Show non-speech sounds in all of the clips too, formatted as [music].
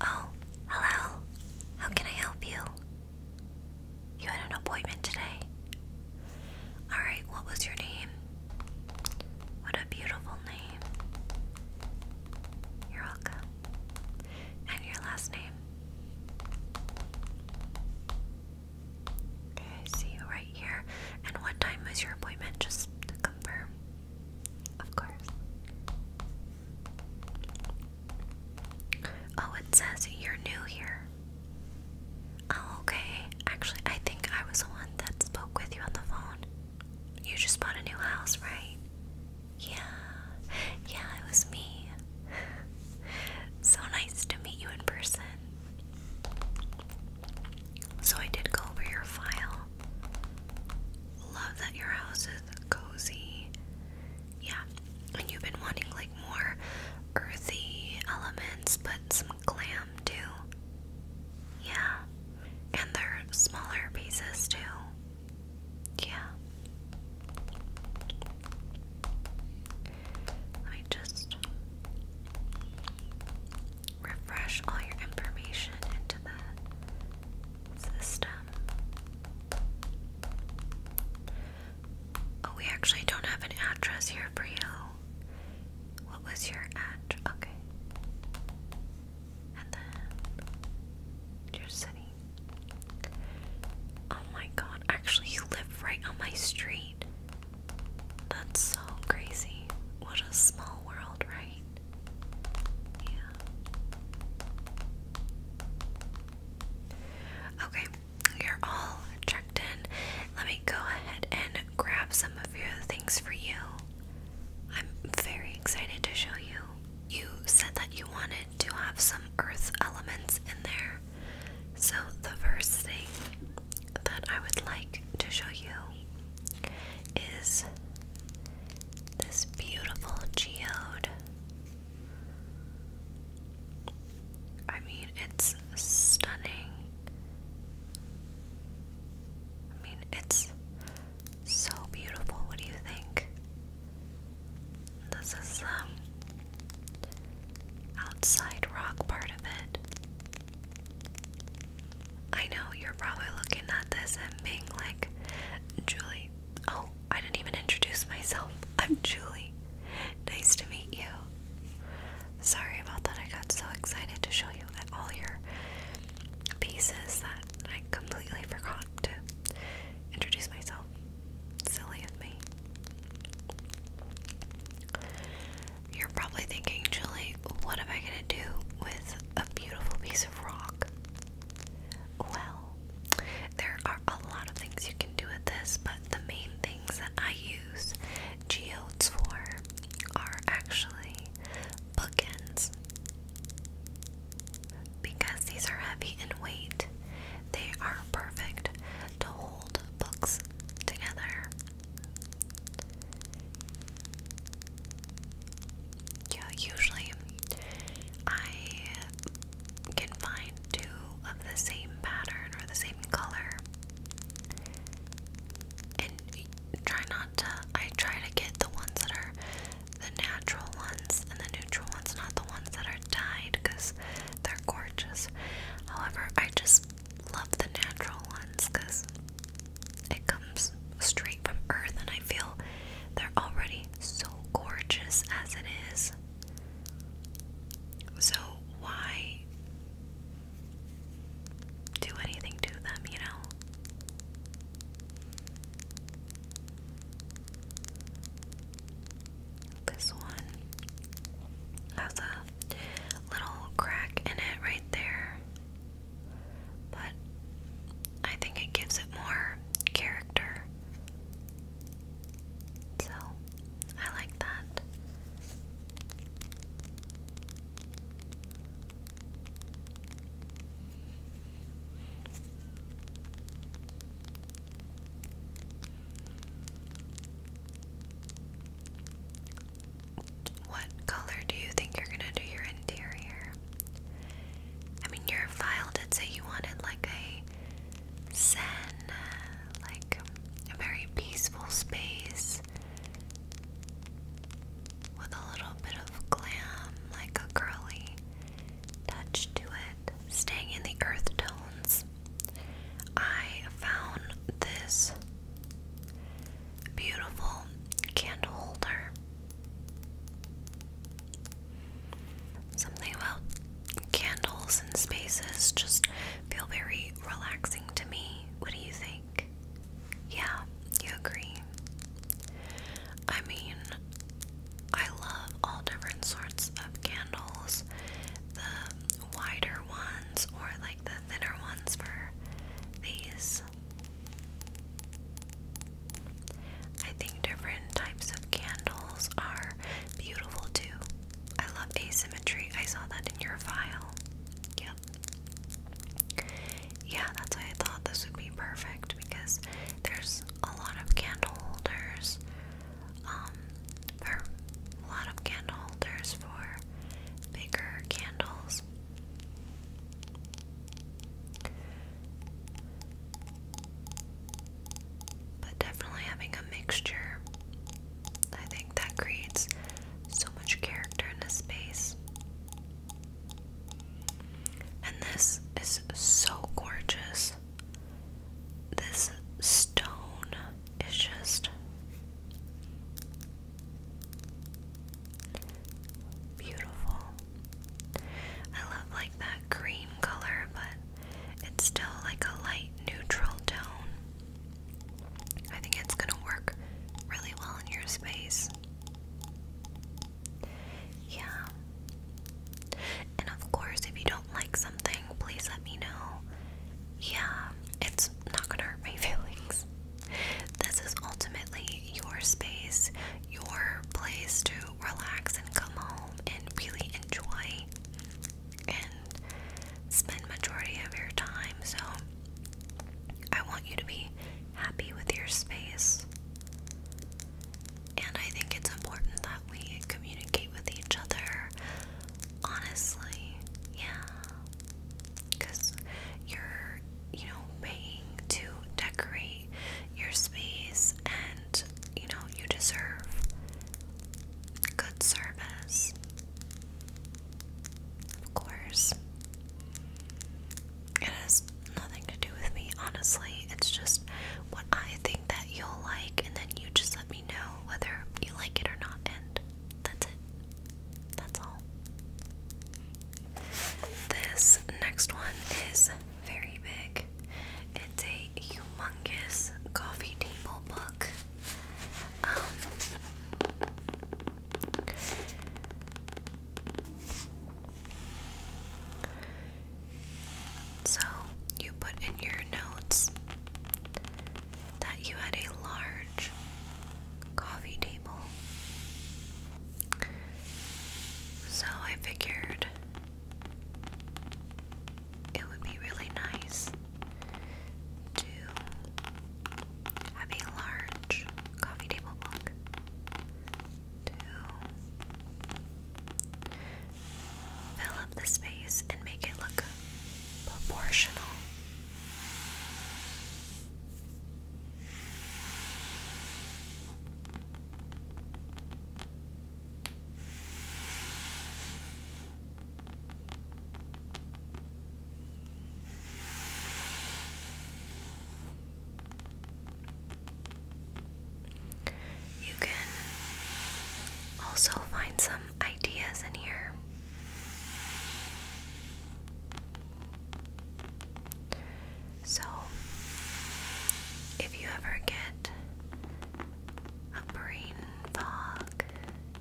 Oh, hello. How can I help you? You had an appointment today. Alright, what was your name? What a beautiful name. You're welcome. And your last name? Okay, I see you right here. And what time was your appointment? Just to confirm. Of course. Oh, it says you're new here. Oh, okay. Actually, I think I was the one that spoke with you on the phone. You just bought a new house, right? Yeah. Yeah, it was me. [laughs] so nice to meet you in person. So I did go over your file. Love that your house is cozy. Yeah, and you've been wanting like more earthy elements, but some glam too. Yeah, and they're smaller pieces too. Yeah. Let me just refresh all your information into the system. Oh, we actually don't have an address here for you. What was your address? Okay. And then your city. Oh my god, actually, you live right on my street. That's so crazy. What a small world, right? Yeah. Okay, you're all checked in. Let me go ahead and grab some of your things for you. I'm very excited to show you. You said that you wanted to have some earth elements in there. So, the first thing that I would like to show you is this beautiful geode. I mean, it's stunning. I mean, it's so beautiful. What do you think? This is the um, outside rock part of it. I know you're probably looking at this and being like, Julie, oh, I didn't even introduce myself. [laughs] I'm Julie. Nice to meet you. Sorry about that. I got so excited to show you all your pieces that I completely forgot to introduce myself. Silly of me. You're probably thinking, Julie, what am I going to do with a beautiful piece of rock? Well, there are a lot of things you can do with this, but the main things that I use geodes for are actually bookends. Because these are heavy in weight, they are perfect to hold books together. Yeah, usually I can find two of the same pattern or the same color. And try not to, I try to get the ones that are the natural ones and the neutral ones, not the ones that are are because they're gorgeous. However, I just love the natural ones because it comes straight from earth and I feel they're already so gorgeous as it is. So why do anything to them, you know? This one has a little crack in it right there, but I think it gives it more character. So I like that. What color do you think you're gonna do your interior? I mean, your file did say you wanted like a zen, like a very peaceful space with a little bit of glam, like a girly touch to it, staying in the earth tones. I found this beautiful candle holder. Something about candles and spaces just feel very relaxing to me. What do you think? Yeah, you agree. I mean, I love all different sorts of candles. The wider ones or like the thinner ones for these. I think different types of candles are beautiful too. I love asymmetry. I saw that in your file. Yep. Yeah, that's why I thought this would be perfect because there's a lot of candle holders um, a lot of candle holders for bigger candles. But definitely having a mixture, I think that creates so much character in a space. And this is so gorgeous. This stone is just beautiful. I love like that cream color, but it's still like a light neutral tone. I think it's going to work really well in your space. Yeah. And of course, if you don't like something, please let me know. Yeah, it's not gonna hurt my [laughs] feelings. This is ultimately your space, your place to relax and come home and really enjoy and spend majority of your time. So I want you to be happy with your space. And I think it's important that we communicate with each other honestly. Yeah. Because you're, you know, paying to decorate your space and, you know, you deserve good service. Of course. It is nothing to do with me, honestly. It's just what I think that you'll like, and then you just let me know whether you like it or not, and that's it. That's all. This next one is very big. It's a humongous coffee table book. Um, so, you put in your notes that you had a large coffee table. So, I figured it would be really nice to have a large coffee table book to fill up the space and make it look proportional. You can also find some ideas in here. So, if you ever get a brain fog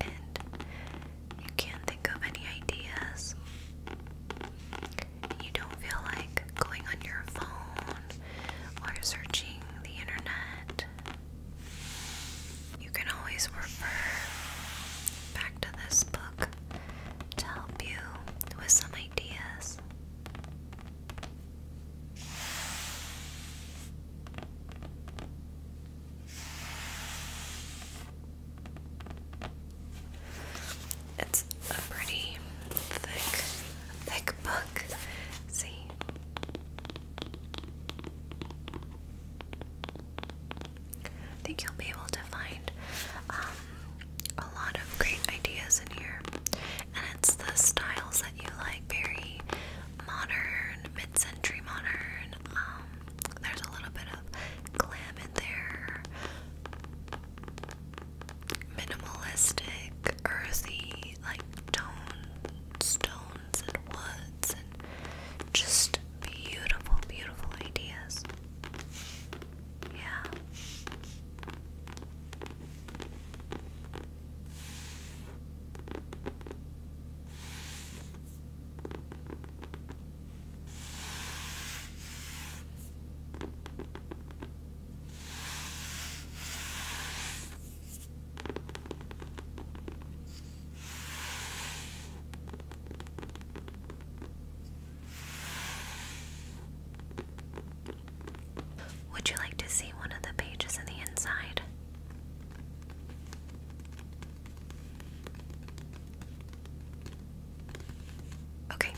and you can't think of any ideas, you don't feel like going on your phone or searching the internet, you can always refer back to this book to help you with some ideas. It's a pretty thick, thick book. See? I think you'll be able to find um, a lot of great ideas in here. And it's the styles that you like very modern, mid century modern. Um, there's a little bit of glam in there minimalistic, earthy, like tone stones and woods and just beautiful, beautiful ideas. Yeah. Would you like to see one of the pages on the inside? Okay,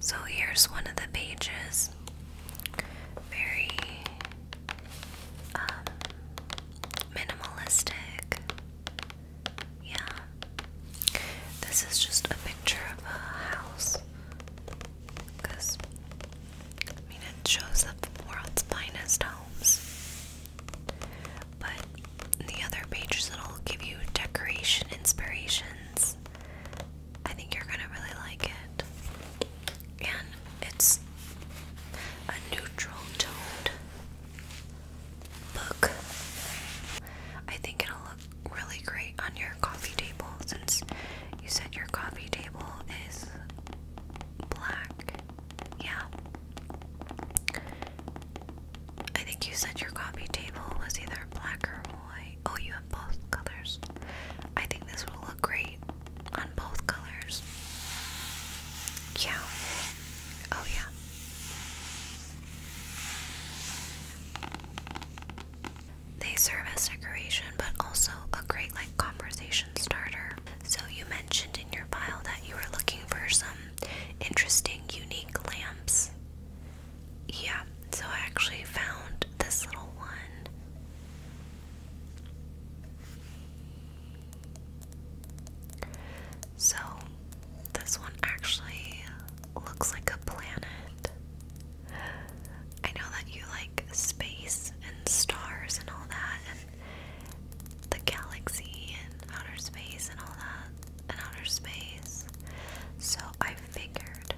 so here's one of the pages. Very um, minimalistic. Yeah. This is just a picture of a house. Because, I mean, it shows the world's finest homes. But the other pages, it'll give you decoration inspirations. I think you're gonna really like it. And it's a neutral toned book. I think it'll look really great on your coffee table since you said your coffee table is black. Yeah. I think you said your coffee table was either black or white. Oh, you have both colors. I think this will look great on both colors. Yeah. Oh, yeah. They serve as decoration, but also a great like conversation starter. So you mentioned in your file that you were looking for some interesting, unique lamps yeah, so I actually found this little one. So, this one actually looks like a planet. I know that you like space and stars and all that, and the galaxy and outer space and all that, and outer space. So, I figured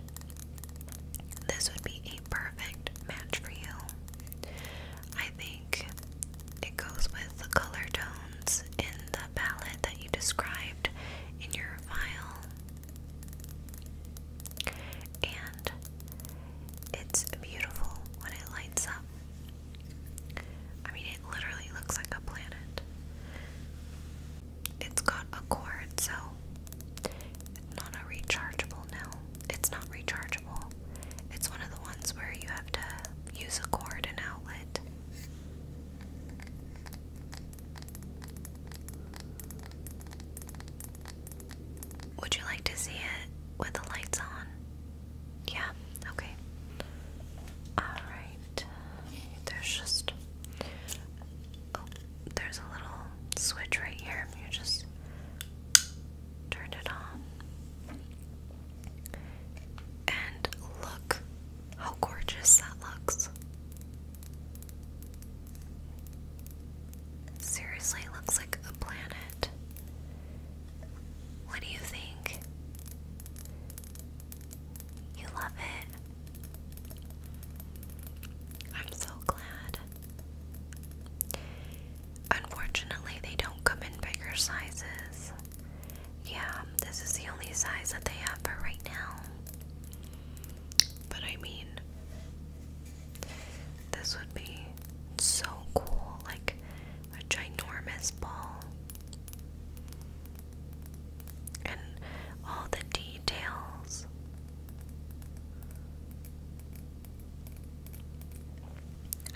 this would be a perfect match for you. I think it goes with the color tones in the palette that you described in your file. And it's beautiful when it lights up. I mean, it literally looks like a planet. It's got a cord, so it's not a rechargeable now. It's not rechargeable. It's one of the ones where you have to use a cord and outlet. Would you like to see it with the lights on? Yeah, okay. Alright. There's just oh, there's a little switch right here. You just turn it on. And look how gorgeous that looks. Seriously, looks like a planet. What do you think? You love it. I'm so glad. Unfortunately, they don't come in bigger sizes. Yeah, this is the only size that they have for right now. But I mean, this would be so cool like a ginormous ball and all the details.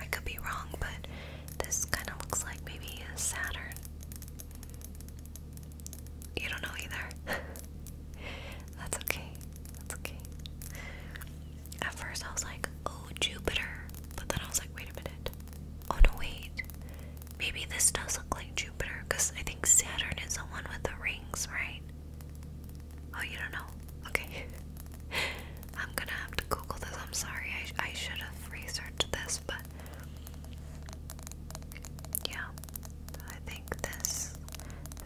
I could be wrong, but this kind of looks like maybe a Saturn. You don't know either. [laughs] That's okay. That's okay. At first I was like, oh, Jupiter. But then I was like, wait a minute. Oh, no, wait. Maybe this does look like Jupiter because I think Saturn is the one with the rings, right? Oh, you don't know? Okay. [laughs] I'm gonna have to Google this. I'm sorry. I, I should have researched this, but. Yeah. I think this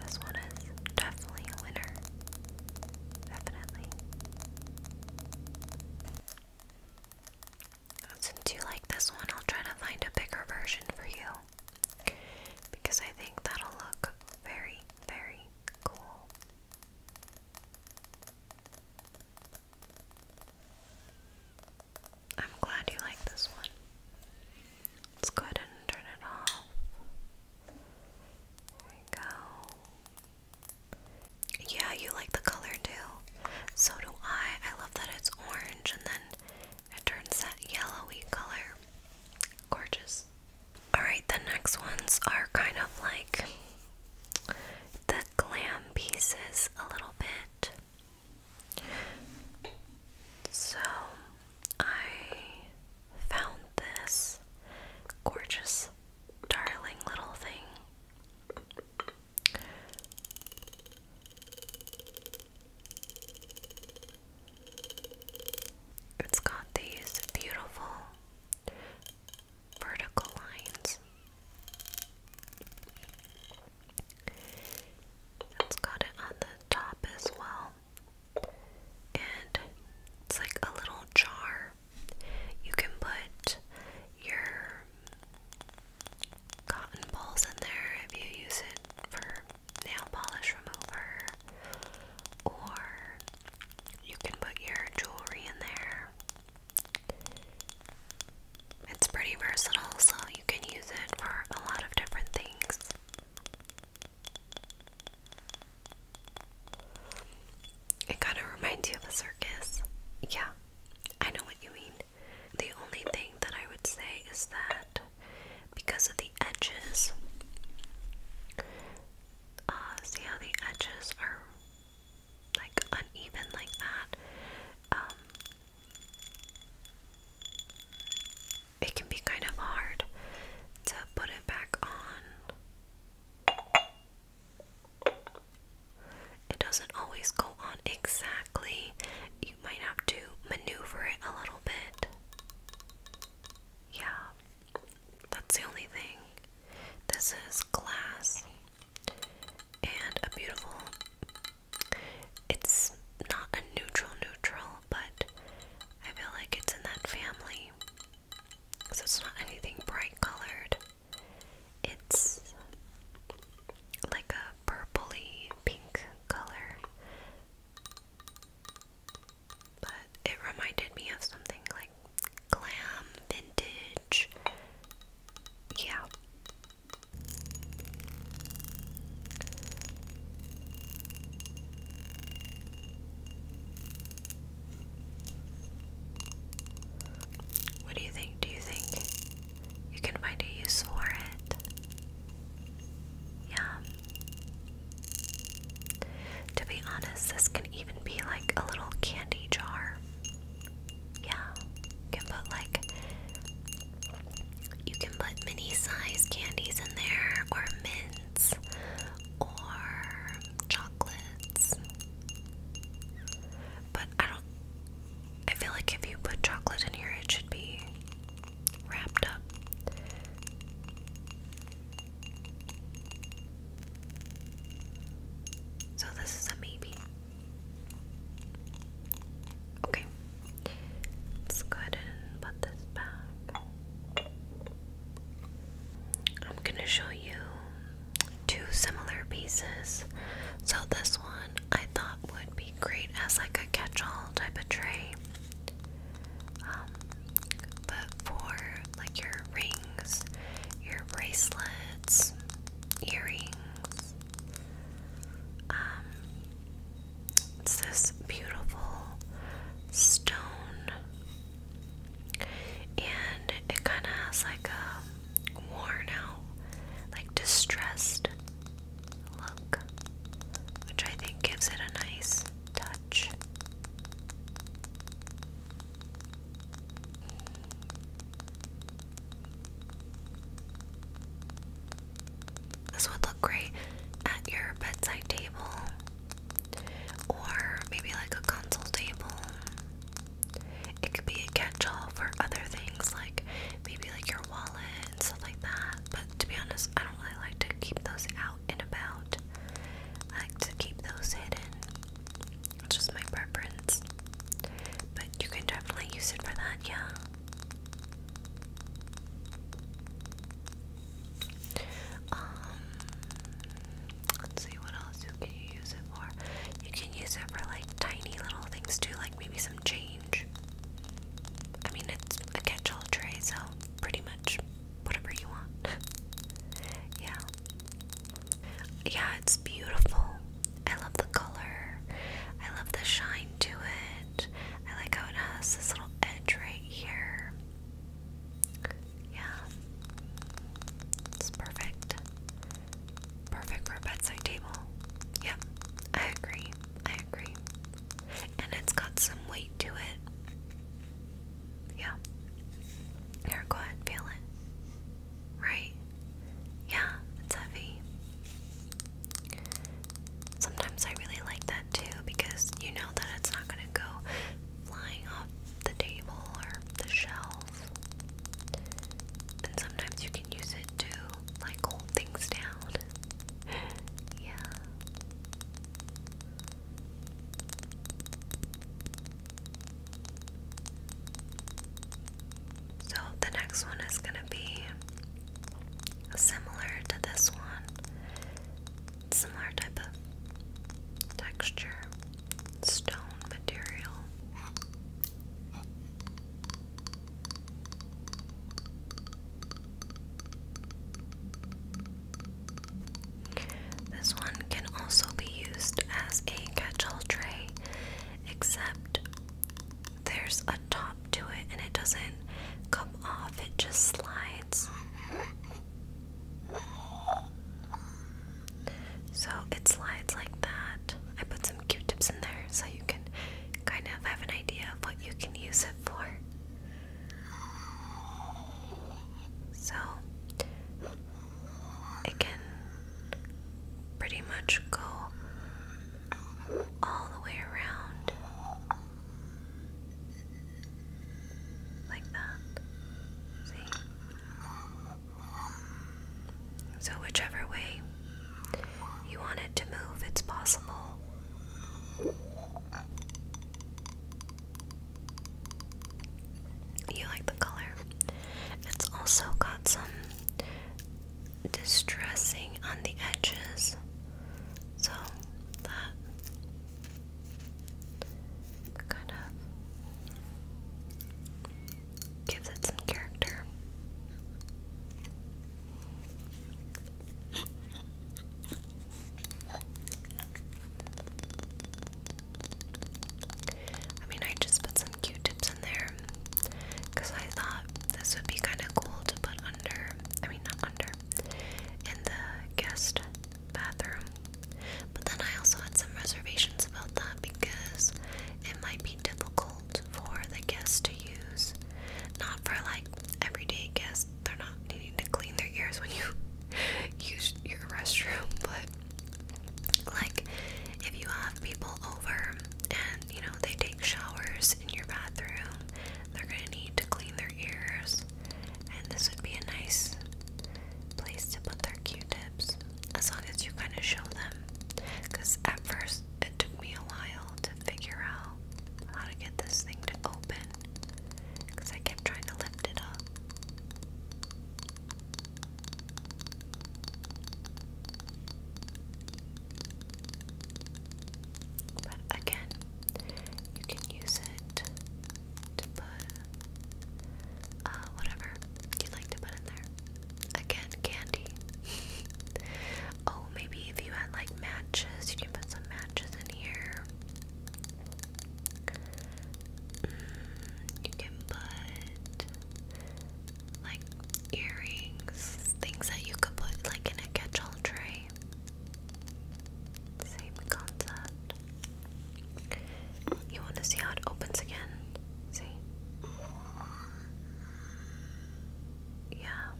this one is definitely a winner. Definitely. Since you like this one, I'll try to find a bigger version for you because I think that'll look very, very cool. I'm glad you like this one. Let's go ahead and turn it off. There we go. Yeah, you like the color too. So do I. I love that it's orange and then it turns that yellowy color. Gorgeous. Alright, the next ones are kind of like the glam pieces a little bit. So I found this gorgeous, darling little thing. It's got these beautiful vertical lines. It's got it on the top as well. And it's like a little jar. You can put your cotton balls in there if you use it for nail polish remover, or you can put your jewelry in there. It's pretty versatile, so you can use it for a lot of different things. It kind of reminds you of a circus. Yeah, I know what you mean. The only thing that I would say is that because of the edges, uh, see how the edges are like uneven like that? Um, it can be kind of hard to put it back on it doesn't always go on exactly. You might have to maneuver it a little bit. Yeah, that's the only thing. This is glass and beautiful. It's not a neutral neutral, but I feel like it's in that family. So it's not anything bright colored. It's like a purpley pink color, but it reminded me of something like glam vintage. Yeah. What do you think? Do you think you can find a use for it? Yeah. To be honest, this can even be like a little candy jar. Yeah. You can put like you can put mini size candies in there or mints or chocolates. But I don't. I feel like if you put chocolate in here, it should be wrapped up. So this is a maybe. Okay. Let's go ahead and put this back. I'm gonna show you two similar pieces. So this one I thought would be great as like a catch-all type of tray. Um, but for like your rings, your bracelets, earrings. Um, it's this beautiful stone, and it kind of has like a worn out, like distressed look, which I think gives it a nice touch. This would look great at your bedside table or maybe like a console table. It could be a catch-all for other things, like maybe like your wallet and stuff like that. But to be honest, I don't really like to keep those out and about. I like to keep those hidden. It's just my preference. But you can definitely use it for that, yeah. Um Let's see what else you can use it for. You can use it for like tiny little things too, like maybe some change. I mean, it's a catch-all tray, so pretty much whatever you want. [laughs] yeah. Yeah, it's beautiful. I love the color. I love the shine to it. I like how it has this little edge right here. Yeah. It's perfect. Perfect for a bedside table. Yep, I agree. I agree. And it's got some weight to it. Yeah. go ahead, feel it. Right? Yeah, it's heavy. Sometimes I really like that too because you know that it's not going to go flying off the table or the shelf and sometimes you can use it to like hold things down. [laughs] yeah. So the next one is going to be similar to this one. Similar type of texture stone material. This one can also be used as a catch tray, except there's a top to it and it doesn't come off, it just slides. So it slides like that. I put some Q-tips in there so you can kind of have an idea of what you can use it for. So it can pretty much go all the way around like that. See? So, whichever way you want it to move, it's possible. You like the color. It's also got some distressing on the edges. So that kind of gives it some character. I mean, I just put some Q-tips in there because I thought this would be kind of cool to put under, I mean, not under, in the guest bathroom. But then I also had some reservations about that because it might be difficult for the guests to use. Not for like everyday guests, they're not needing to clean their ears when you [laughs] use your restroom, [laughs] but like if you have people over and you know they take showers in your bathroom, they're gonna need to clean their ears, and this would be a nice place to put their Q-tip as long as you kind of show them. Because at first it took me a while to figure out how to get this thing to open because I kept trying to lift it up. But again, you can use it uh, whatever you'd like to put in there. Again, candy. [laughs] oh, maybe if you had like matches, you can put some matches in here. Mm, you can put like earrings, things that you could put like in a catch all tray. Same concept. You want to see how it opens again? See? Yeah.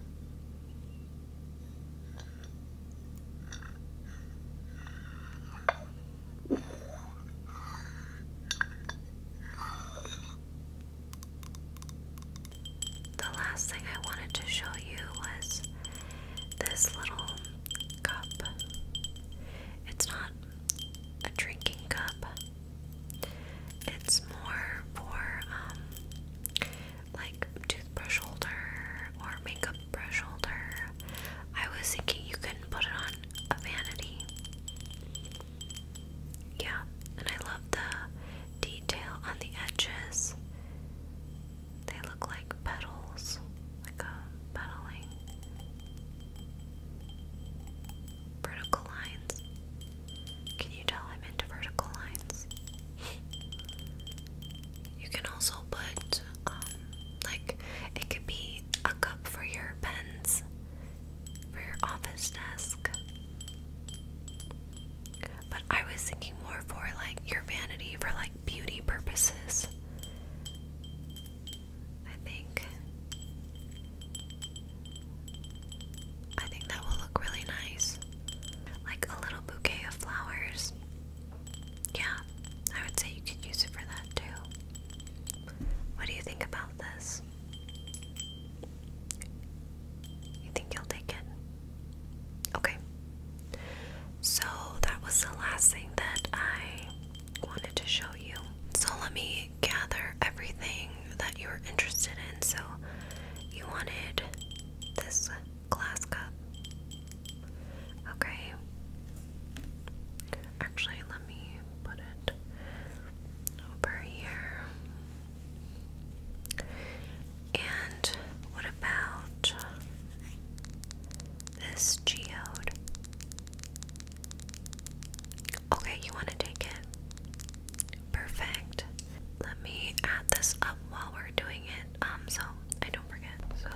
The last thing I wanted to show you was this little cup. It's not a drinking cup. It's more for um like toothbrush holder or makeup brush holder. I was thinking you couldn't put it on a vanity. Yeah, and I love the detail on the edges. They look like petals, like a um, pedaling Vertical lines. Can you tell I'm into vertical lines? [laughs] you can also put, um, like, it could be a cup for your pens, for your office desk. But I was thinking more for like your vanity, for like beauty purposes. I think I think that will look really nice. Like a little bouquet of flowers. Yeah, I would say you could use it for that too. What do you think about this? You think you'll take it? Okay. So that was the last thing that I wanted to show you. So let me gather everything that you were interested in. So you wanted this glass cup. Okay. Actually, let me put it over here. And what about this geode. Okay, you want to take it? Perfect. Let me add this up while we're doing it, um, so I don't forget. So,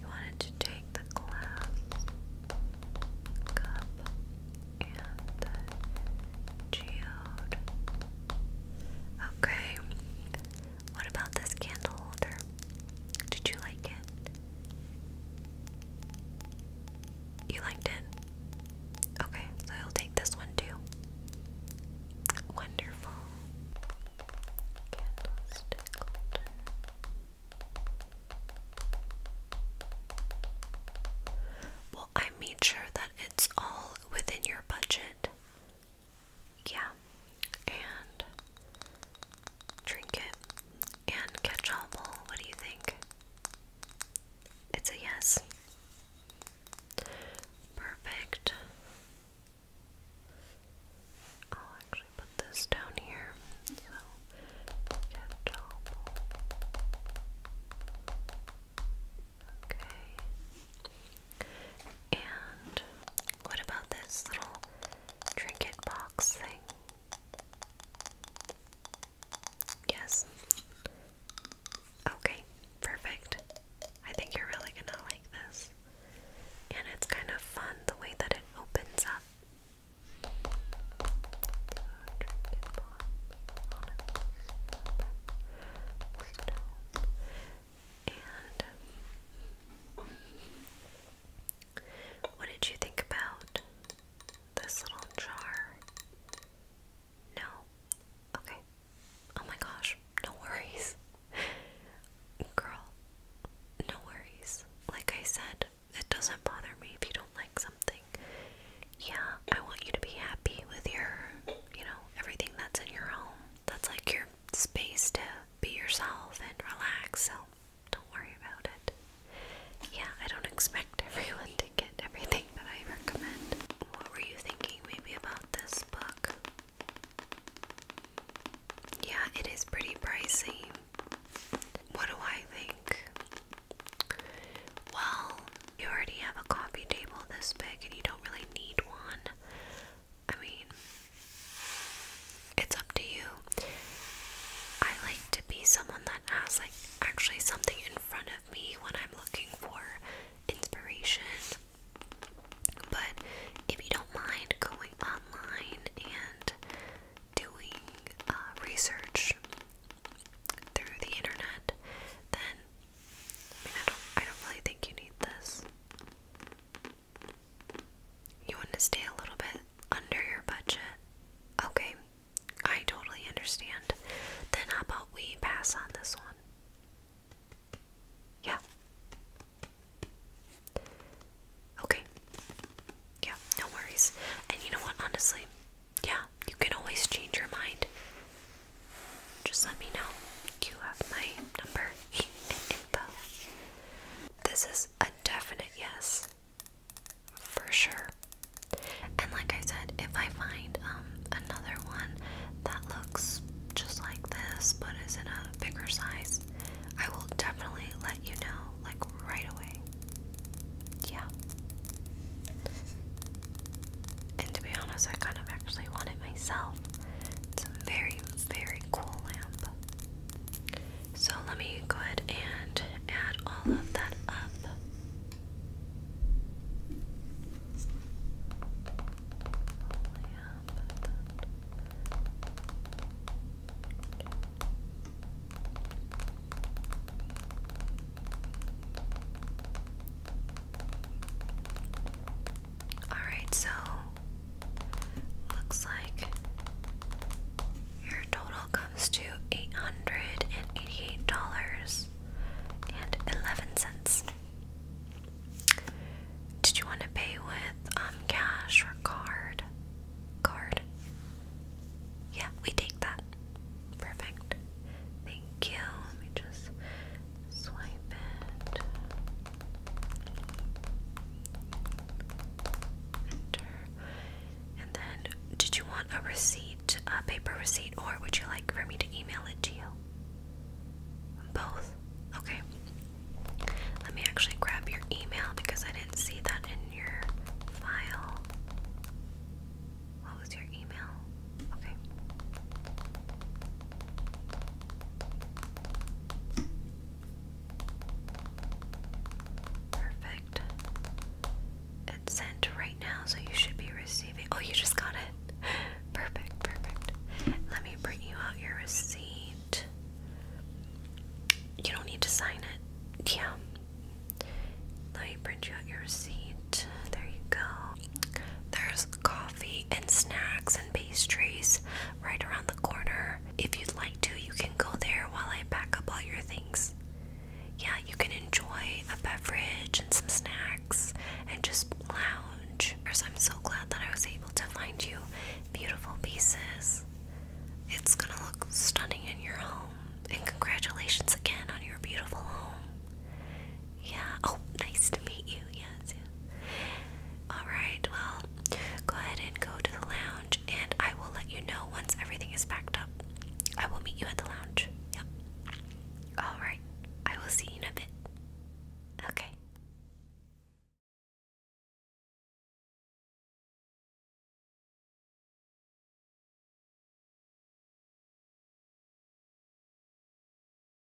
you wanted to take the glass cup and the geode. Okay, what about this candle holder? Did you like it? You liked it? Okay, so I'll take this one too. Wonderful. Well, I made sure that it's all within your budget yeah, and Trinket and Catch What do you think? It's a yes. Perfect. I'll actually put this down here. So, Catch Okay. And what about this little trinket box thing? Yes. Okay, perfect. I think you're really gonna like this. And it's kind of fun the way that it opens up. Um, what did you think about this little jar? No? Okay. Oh my gosh, no worries. Girl, no worries. Like I said, it doesn't bother me if you don't like something. Yeah, I want you to be happy with your, you know, everything that's in your home. That's like your space to be yourself and relax, so don't worry about it. Yeah, I don't expect [laughs] everyone to get everything that I recommend. What were you thinking maybe about this book? Yeah, it is pretty pricey. What do I think? Well, you already have a coffee table this big and you don't really need one. I mean, it's up to you. I like to be someone that has like actually something in front of me when I'm looking for inspiration. But if you don't mind going online and doing uh, research through the internet, then I don't really think you need this. You want to stay a little bit under your budget? Okay, I totally understand. Then, how about we pass on this one? Yeah. Okay. Yeah, no worries. And you know what, honestly, yeah, you can always change your mind. Just let me know. You have my number. [laughs] This is a definite yes. For sure. And like I said, if I find um, another one that looks just like this but is in a bigger size, I will definitely let you know like right away. Yeah. And to be honest, I kind of actually want it myself. It's very, very so let me go ahead and add all of that up. Alright, so looks like your total comes to $888.11. Did you want to pay with um, cash or card? Card. Yeah, we take that. Perfect. Thank you. Let me just Swipe it. Enter. And then, did you want a receipt, a paper receipt, or would you like for me to email it to you? Both? Okay. Let me actually grab your email because I didn't see that in your file. What was your email? Okay. Perfect. It's sent right now, so you should be receiving. Oh, you just got it. [laughs] Perfect, perfect. Let me bring you out your receipt. You don't need to sign it. Yeah. Let me print you out your receipt. There you go. There's and snacks and pastries right around the corner. If you'd like to, you can go there while I pack up all your things. Yeah, you can enjoy a beverage and some snacks and just lounge. First, I'm so glad that I was able to find you beautiful pieces. It's gonna look stunning in your home. And congratulations again on your beautiful home. Yeah. Oh, nice to meet you. Yes. Yeah. All right. Well, go ahead and go to the lounge, and I will let you know once everything is packed up. I will meet you at the lounge. Yep. All right. I will see you in a bit. Okay.